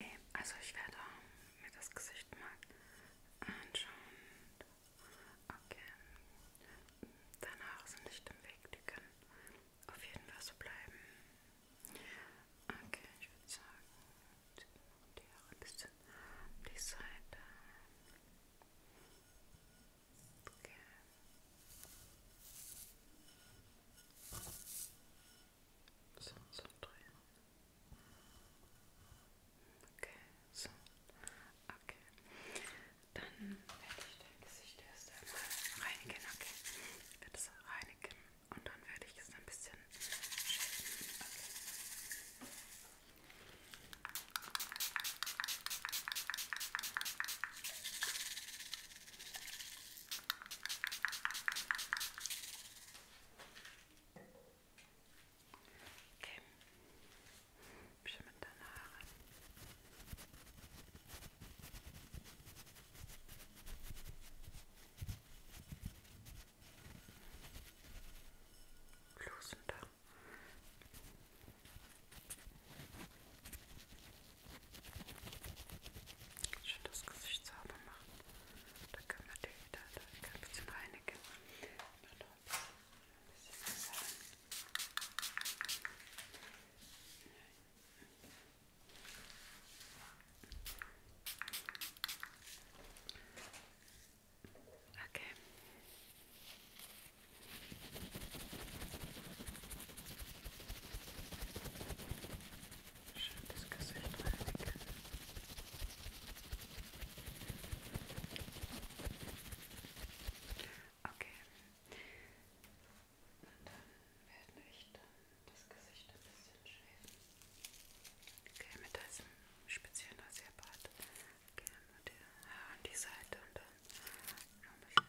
Okay, also ich werde mir das Gesicht mal anschauen. Okay. Deine Haare sind nicht im Weg, die können auf jeden Fall so bleiben. Okay, ich würde sagen, die Haare ein bisschen an die Seite. Okay. So, so drehen. Okay, so. Okay. Dann werde ich dein Gesicht erst einmal reinigen. Okay. Ich werde es reinigen und dann werde ich es ein bisschen schälen. Okay. Okay. Okay. Bisschen mit deinen Haaren. Losender. Schön das Gesicht sauber machen. Da können wir den wieder da kann ein bisschen reinigen. Und noch ein bisschen besser. Okay. Schönes Gesicht reinigen. Okay. Und dann werde ich dann das Gesicht ein bisschen schälen. Okay, mit diesem speziellen Rasierbad gehen wir die Haare an die Seite und dann noch ein bisschen.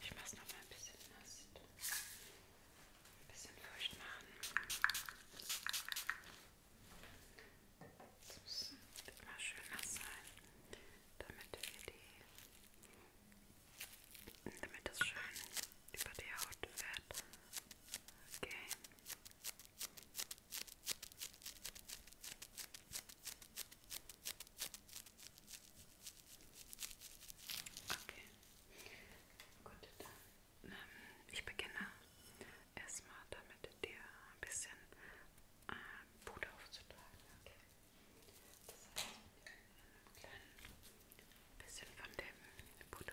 Ich mache es nochmal ein bisschen nass. Ein bisschen feucht machen. Das muss immer schön nass sein, damit wir die, damit das schön über die Haut fährt. Okay. Okay. Gut, dann ähm, ich beginne erstmal damit dir ein bisschen äh, Puder aufzutragen. Okay. Das heißt, ein klein bisschen von dem Puder.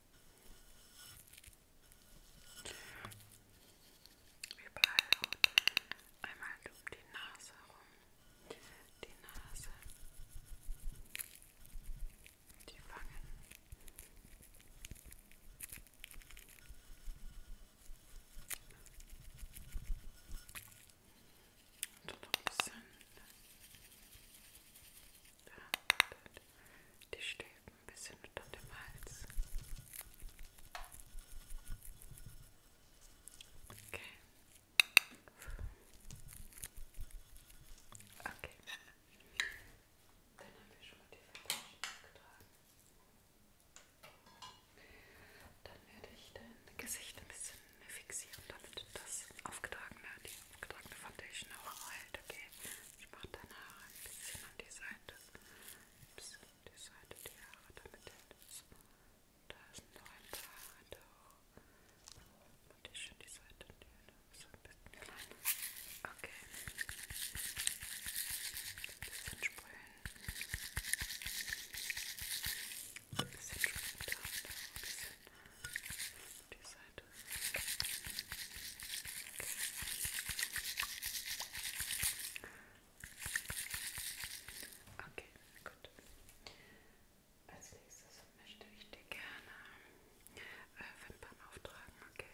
Überall und einmal um die Nase rum. Die Nase. Die Wangen. Und noch ein bisschen die Stäbe ein bisschen unter dem Hals. Okay. Okay. Dann haben wir schon mal die Verpackung getragen. Dann werde ich dein Gesicht ein bisschen fixieren, damit das aufgetragene die Getrocknete Foundation auch alt, okay. Ich mache deine Haare ein bisschen an die Seite. Ein bisschen an die Seite, die Haare, damit das. Da sind noch ein paar Haare da hoch. Und die schön die Seite, die so ein bisschen klein. Okay. Ein bisschen sprühen. Ein bisschen sprühen da, da ein bisschen. Die Seite. Okay, gut. Als nächstes möchte ich dir gerne äh, Wimpern auftragen, okay?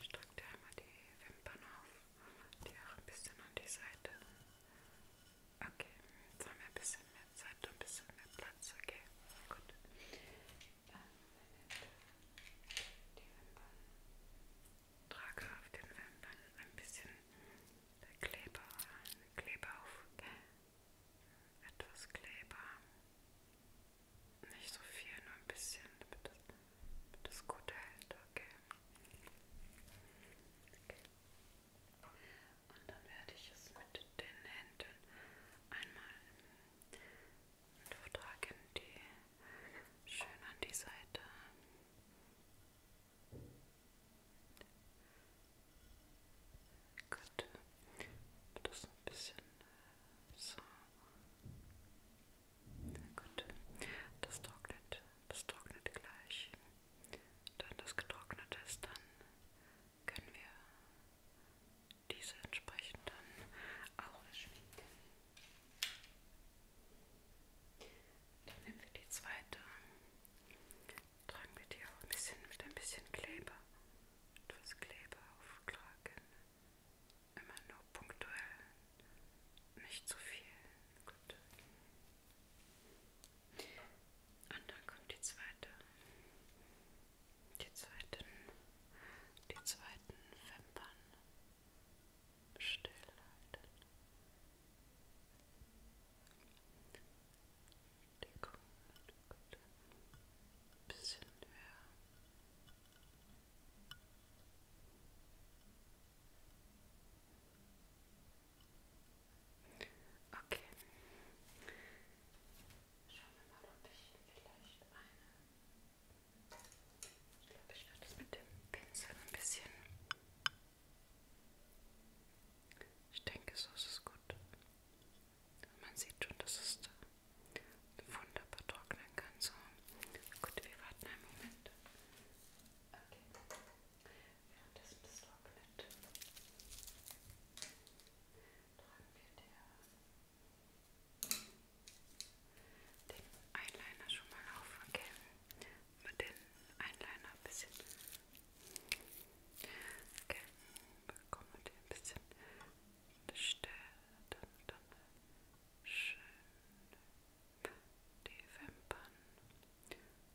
Ich trage dir einmal die Wimpern auf, die auch ein bisschen an die Seite. Okay, jetzt haben wir ein bisschen mehr jetzt habt ihr ein bisschen mehr Platz, okay? Gut. Die Wimpern. Trage auf den Wimpern ein bisschen Kleber, Kleber auf. Etwas Kleber. Nicht so viel, nur ein bisschen, damit das, damit das gut hält, okay? okay und dann werde ich es mit den Händen einmal und vertragen die schön an die Seite. Gut, das ein bisschen äh, so. Gut, das trocknet, das trocknet gleich. Wenn das getrocknet ist, dann können wir diese entsprechend dann auch erschwingt. Dann nehmen wir die zweite, tragen wir die auch ein bisschen mit ein bisschen Kleber, etwas Kleber auftragen, immer nur punktuell, nicht zu viel. Gut. Und dann kommt die zweite die zweiten, die zweiten Wimpern stillhalten. Die kommen ein bisschen höher. Okay. Schauen wir mal, ob ich vielleicht eine. Ich glaube, ich werde das mit dem Pinsel ein bisschen. Ich denke, so ist es gut. Man sieht schon, dass es da wunderbar trocknen kann. So. Gut, wir warten einen Moment. Okay. Währenddessen ja, das trocknet tragen wir der, den Eyeliner schon mal auf, okay? Mit den Eyeliner ein bisschen. Okay, bekommen wir den ein bisschen stärker, dann, dann schön die Wimpern.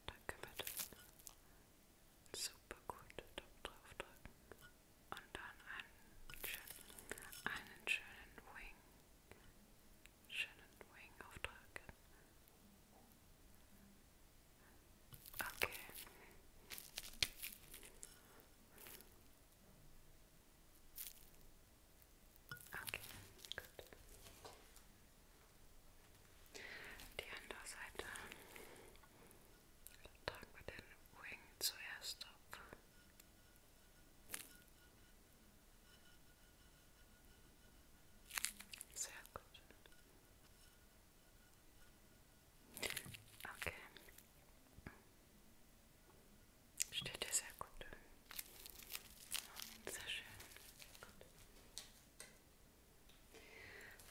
Dann können wir das super gut drauf drücken und dann einen schönen, einen schönen Wing, schönen Wing aufdrücken. Okay. Okay, gut. Die andere Seite. Okay. Tragen wir den Wing zuerst ab. Sehr gut. Okay. Steht dir sehr gut. Sehr schön. Gut.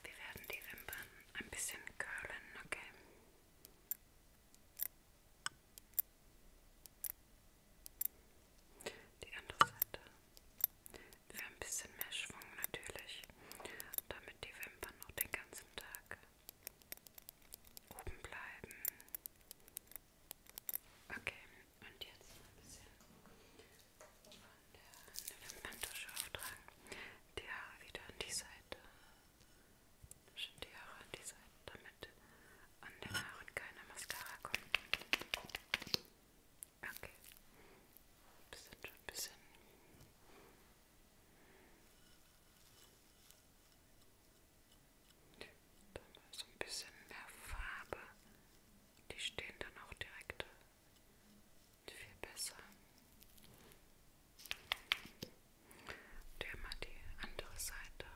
Wir werden die Wimpern ein bisschen curlen, okay? Die andere Seite. Für ein bisschen mehr Schwung natürlich, damit die Wimpern noch den ganzen Tag oben bleiben. Okay, und jetzt ein bisschen von der Wimperntusche auftragen. Die Haare wieder an die Seite. Schön die Haare an die Seiten, damit an den Haaren keine Mascara kommt. Okay. Das sind schon ein bisschen. Da haben wir so ein bisschen mehr Farbe. Die stehen dann auch direkt viel besser. Der mal die andere Seite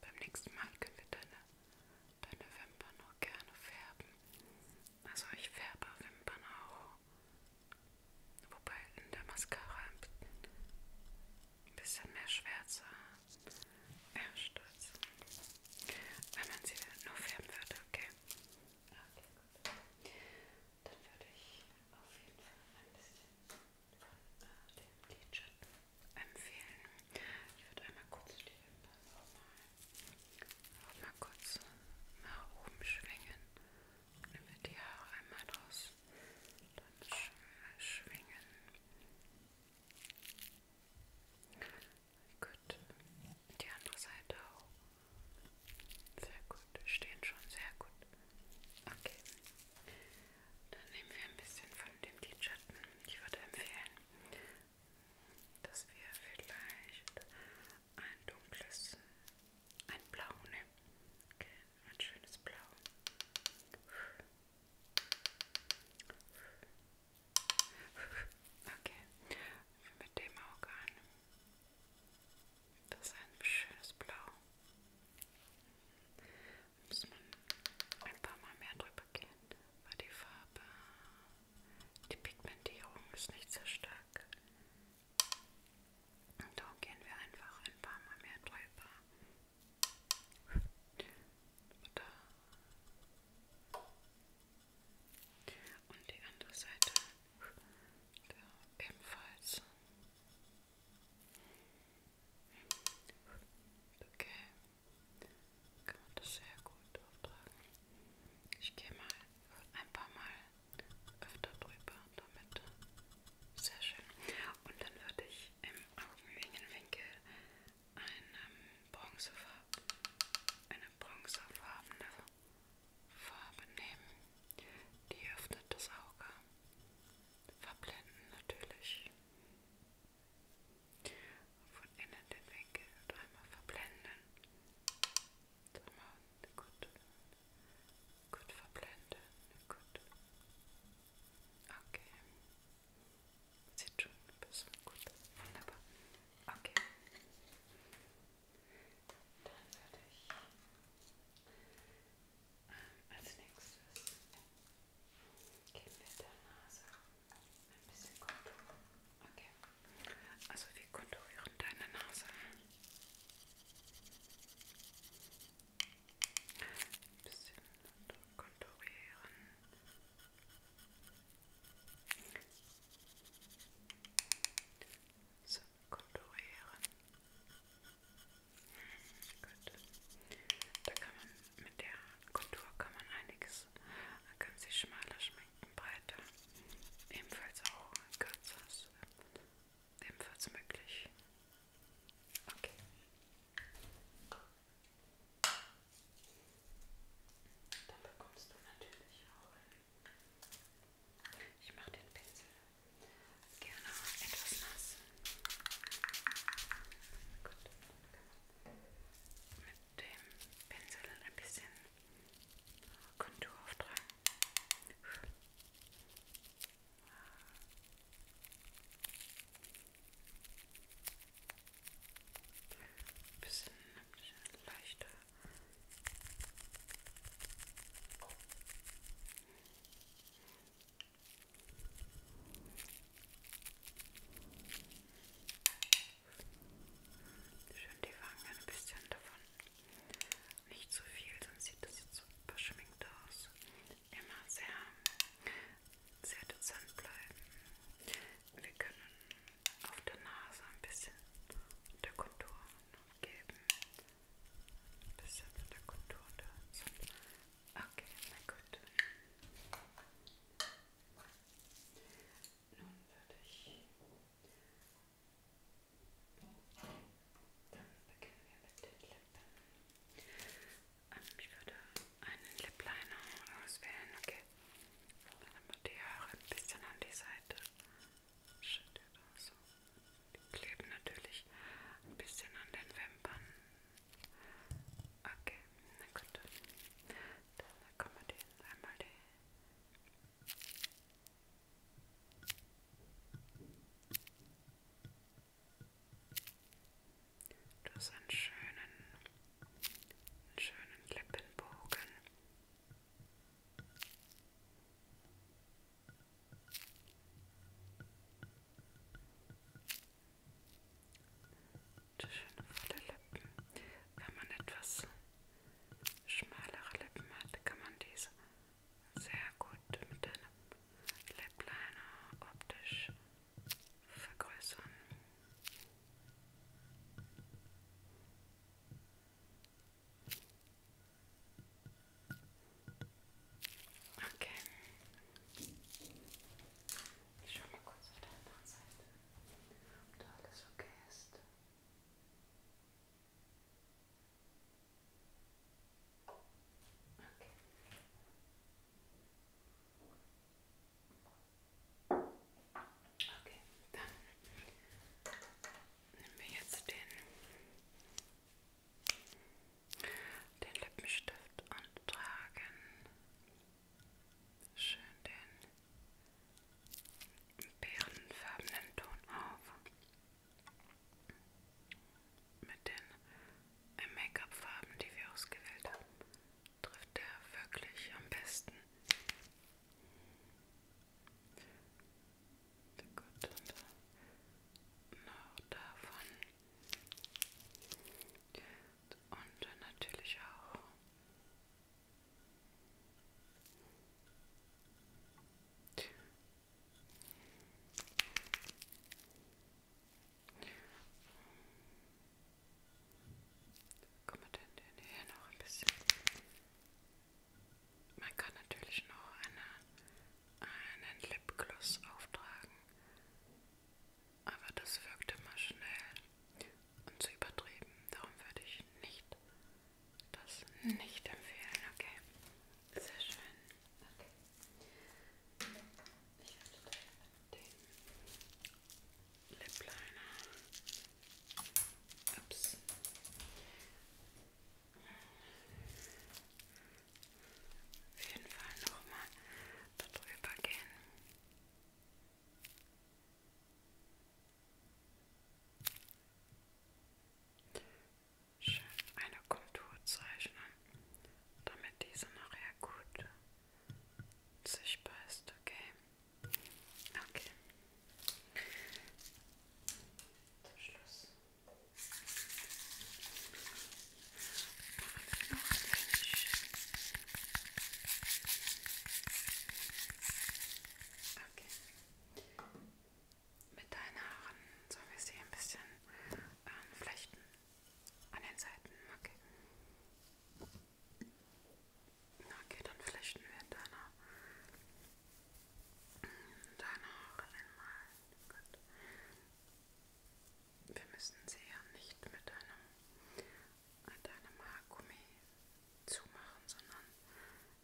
Beim nächsten Mal können wir deine, deine Wimpern auch gerne färben. Also ich färbe Wimpern auch. Wobei in der Mascara ein bisschen mehr Schwärze ja, stolz. Wenn man sie nur färben würde, okay? Okay, gut. Dann würde ich auf jeden Fall ein bisschen von äh, dem Lidschatten empfehlen. Ich würde einmal kurz die Wimpern nochmal mal kurz nach oben schwingen. Nehmen wir die Haare einmal raus. Dann sch schwingen. Gut. Die andere Seite auch. Sehr gut. Stehen schon sehr gut. Okay. Dann nehmen wir ein bisschen von dem Lidschatten. Ich würde empfehlen, dass wir vielleicht ein dunkles, ein Blau nehmen. Okay. Ein schönes Blau. Okay, mit dem Auge an. Das ist ein schönes Blau. Muss man ein paar Mal mehr drüber gehen, weil die Farbe, die Pigmentierung ist nicht sehr stark. Und darum gehen wir einfach ein paar Mal mehr drüber. Oder und die andere Seite ebenfalls. Okay, kann man das sehr gut auftragen. Ich gehe mal ein paar Mal öfter drüber damit. Sehr schön. Und dann würde ich im Augenwinkel einem Bronzefarb, eine bronzefarbene Farbe nehmen, die öffnet das Auge, verblenden natürlich. Von innen den Winkel einmal verblenden. Einmal gut, gut verblenden. Gut. Okay. Sieht schon besser gut aus. Wunderbar. Okay. Dann werde ich ähm, als nächstes geben wir der Nase ein bisschen Kontur. Okay. Also wir konturieren deine Nase. Ein bisschen konturieren. So, konturieren. Gut. Da kann man mit der Kontur kann man einiges, man kann sich schmaler schminken, breiter, ebenfalls auch kürzer, ist ebenfalls möglich. Okay. Dann bekommst du natürlich auch. Ich mache den Pinsel gerne etwas nass. Gut. Mit dem Pinsel ein bisschen Kontur auftragen. Ein bisschen leichter. Schön die Wangen ein bisschen davon. Nicht zu viel, sonst sieht das jetzt so verschminkt aus. Immer sehr, sehr dezent bleiben. Wir können auf der Nase ein bisschen der Kontur geben. Ein bisschen von der Kontur dazu. Okay, na gut. Nun würde ich. Dann beginnen wir mit den Lippen. Ähm, ich würde einen Lip Liner auswählen. Okay, Nimm die Haare ein bisschen an die Seite. Schüttet auch so. Die kleben natürlich ein bisschen an den Wimpern. Okay, na gut. Dann können wir den einmal die. Du hast einen schönen einen schönen Lippenbogen. Schöne volle Lippen. Wenn man etwas schmalere Lippen hat, kann man diese sehr gut mit einem Lip Liner optisch vergrößern. Okay. Ich schau mal kurz auf der anderen Seite, ob da alles okay ist. Okay. Okay, dann nehmen wir jetzt den, den Lippenstift und tragen schön den bärenfarbenen Ton auf mit den Make-up-Farben, die wir ausgewählt haben trifft er wirklich am besten. Gut, und noch davon. Und natürlich auch. Gut. Guck mal denn den hier noch ein bisschen. Man kann natürlich noch eine, einen Lipgloss auftragen, aber das wirkt immer schnell und zu übertrieben. Darum würde ich nicht das nicht empfehlen. Okay, sehr schön. Okay. Ich hatte den Lip Liner Ups. Auf jeden Fall nochmal darüber gehen. Schön eine Kontur zeichnen, damit diese nachher gut sichtbar ist, okay? Okay. Zum Schluss. Okay. Mit deinen Haaren sollen wir sie ein bisschen ähm, flechten. An den Seiten, okay. Na, okay, dann flechten wir in deiner, in deine Haare einmal. Gut. Wir müssen sie ja nicht mit einem, mit einem Haargummi zumachen, sondern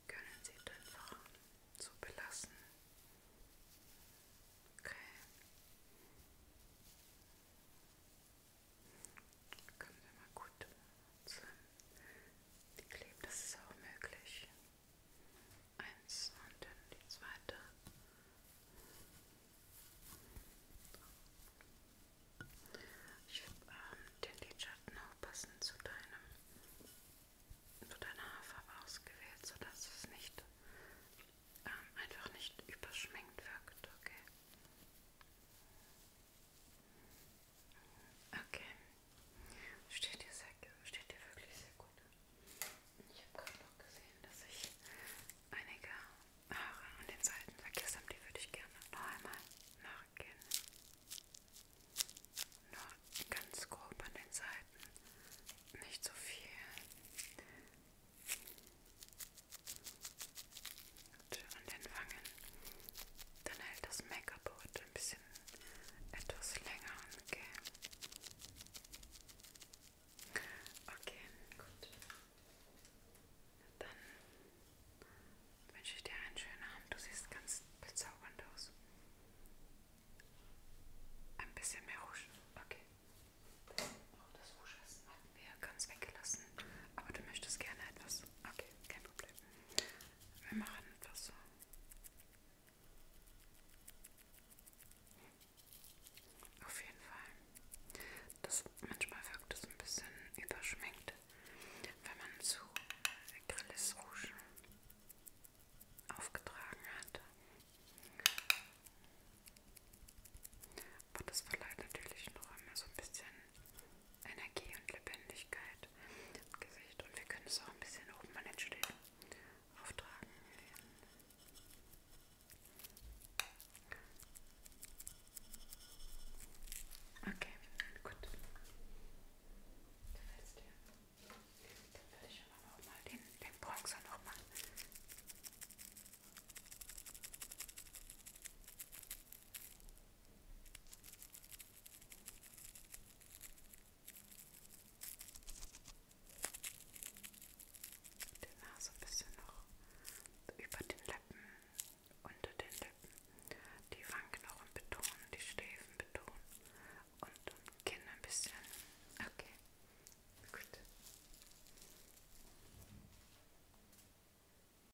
können sie einfach so belassen. Okay. Können wir mal gut zusammenkleben, das ist auch möglich. Eins und dann die zweite. Ich würde ähm, den Lidschatten auch passend zu deinem, zu deiner Haarfarbe ausgewählt, sodass es nicht ähm, einfach nicht überschminkt wirkt, okay? Okay. Steht dir sehr steht dir wirklich sehr gut. Ich habe gerade noch gesehen, dass ich einige Haare an den Seiten vergessen habe, die würde ich gerne noch einmal nachgehen. Nur ganz grob an den Seiten. Nicht so viel. Und an den Wangen. Dann hält das Make-up heute ein bisschen etwas länger. Okay. Okay, gut. Dann wünsche ich dir einen schönen Abend. Du siehst ganz bezaubernd aus. Ein bisschen mehr Rouge. Okay. Auch oh, das Rouge ist mal hatten wir ganz weggelassen. Aber du möchtest gerne etwas. Okay, kein Problem. Wir machen etwas so. Auf jeden Fall. Das, manchmal wirkt es ein bisschen überschminkt, wenn man zu Grilles Rouge aufgetragen hat. Aber das verleiht natürlich noch einmal so ein bisschen Energie und Lebendigkeit im Gesicht. Und wir können es auch ein bisschen oben an den Stirn auftragen. Okay, gut. Gefällt's dir? Dann würde ich aber auch mal den, den Bronzer noch machen. Okay. Die ah, Nase ein bisschen noch über den Lippen, unter den Lippen, die Wangenknochen betonen, die Schläfen betonen und um Kinn ein bisschen. Okay, gut.